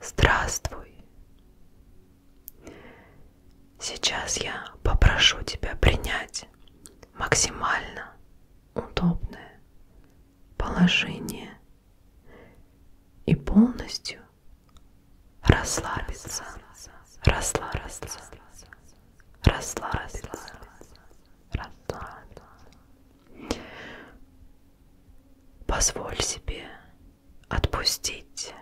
Здравствуй. Сейчас я попрошу тебя принять максимально удобное положение и полностью расслабиться, расслабиться, расслабиться, расслабиться, расслабиться. Позволь себе отпустить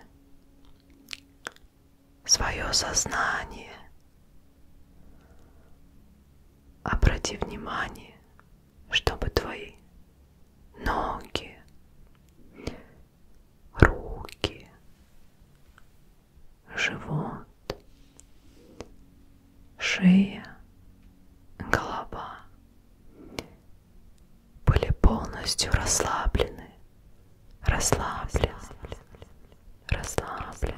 свое сознание. Обрати внимание, чтобы твои ноги, руки, живот шея, голова были полностью расслаблены, расслаблены, расслаблены,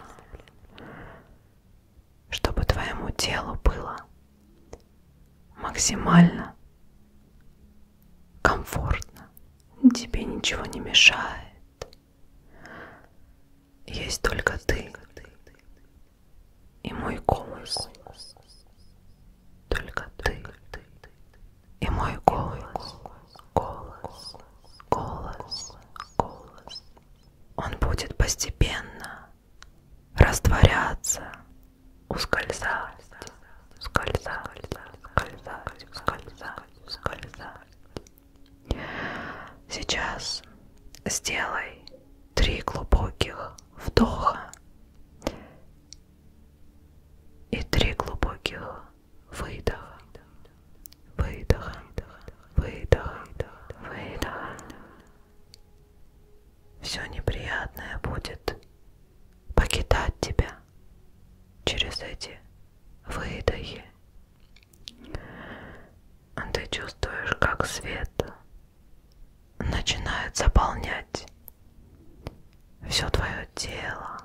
чтобы твоему телу было максимально комфортно, тебе ничего не мешает, есть только ты и мой голос. Только ты и мой голос. Голос, голос, голос. Он будет постепенно растворяться, ускользать, ускользать, ускользать, ускользать, ускользать, Сейчас сделай три глубоких вдоха и три глубоких выдоха. Выдоха, выдоха, выдоха. Все неприятное будет покидать тебя через эти выдохи а ты чувствуешь, как свет начинает заполнять все твое тело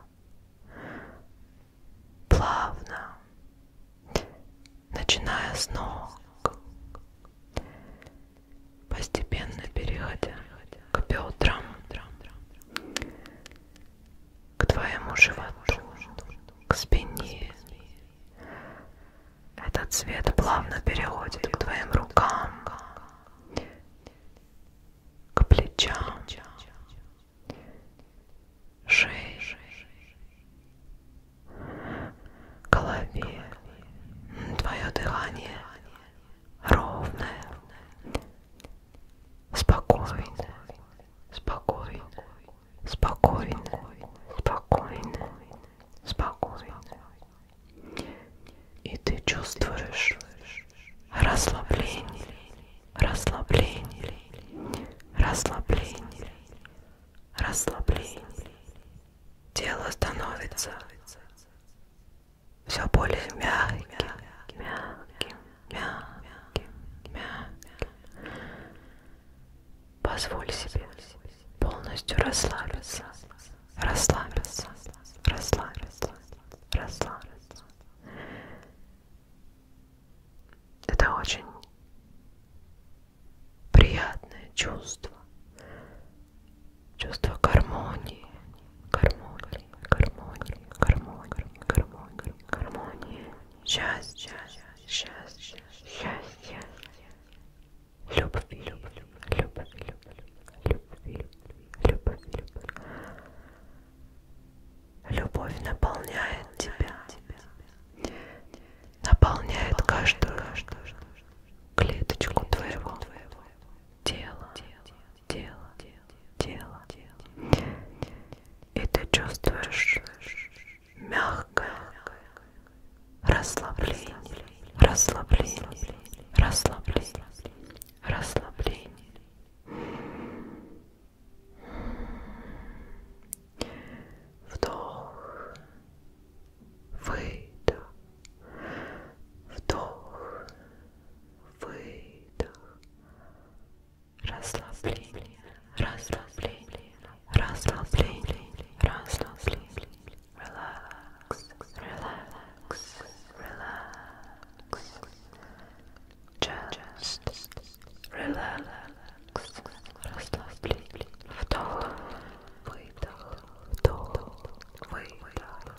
плавно, начиная с ног, постепенно переходя к бедрам к твоему животу, к спине. Этот цвет плавно переходит к твоим рукам, к плечам, шее, голове. Твое дыхание ровное, спокойно, спокойно, спокойно, спокойно, спокойно. И ты чувствуешь расслабление, расслабление, расслабление, расслабление. Тело становится все более мягким, мягким, мягким, мягким. Позволь себе полностью расслабиться, расслабиться, расслабиться, расслабиться. Это очень приятное чувство, чувство гармонии, гармония, гармония, гармония, гармония, гармония, счастье, счастье, счастье, любви, любви, любви, любви, любви, любви, любовь наполняет тебя, наполняет каждую клеточку твоего тела тело, тело, тело. И ты чувствуешь мягкое расслабление, расслабление, расслабление, расслабление. Вдох, выдох, вдох, выдох, расслабление, расслабление, расслабление, расслабление, relax, relax, relax, just relax, расслабление, вдох, выдох, вдох, выдох.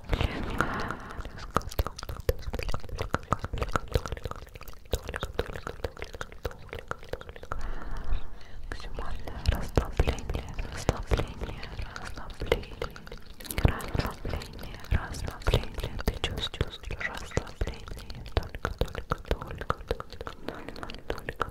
Максимальное расслабление, расслабление, расслабление, расслабление, расслабление. Ты чувствуешь расслабление, только, только, только, только, только, только, только.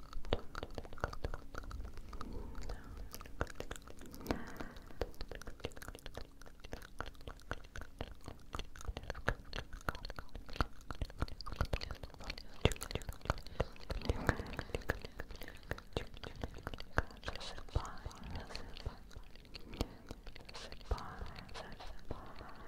засыпаем, засыпаем, засыпаем.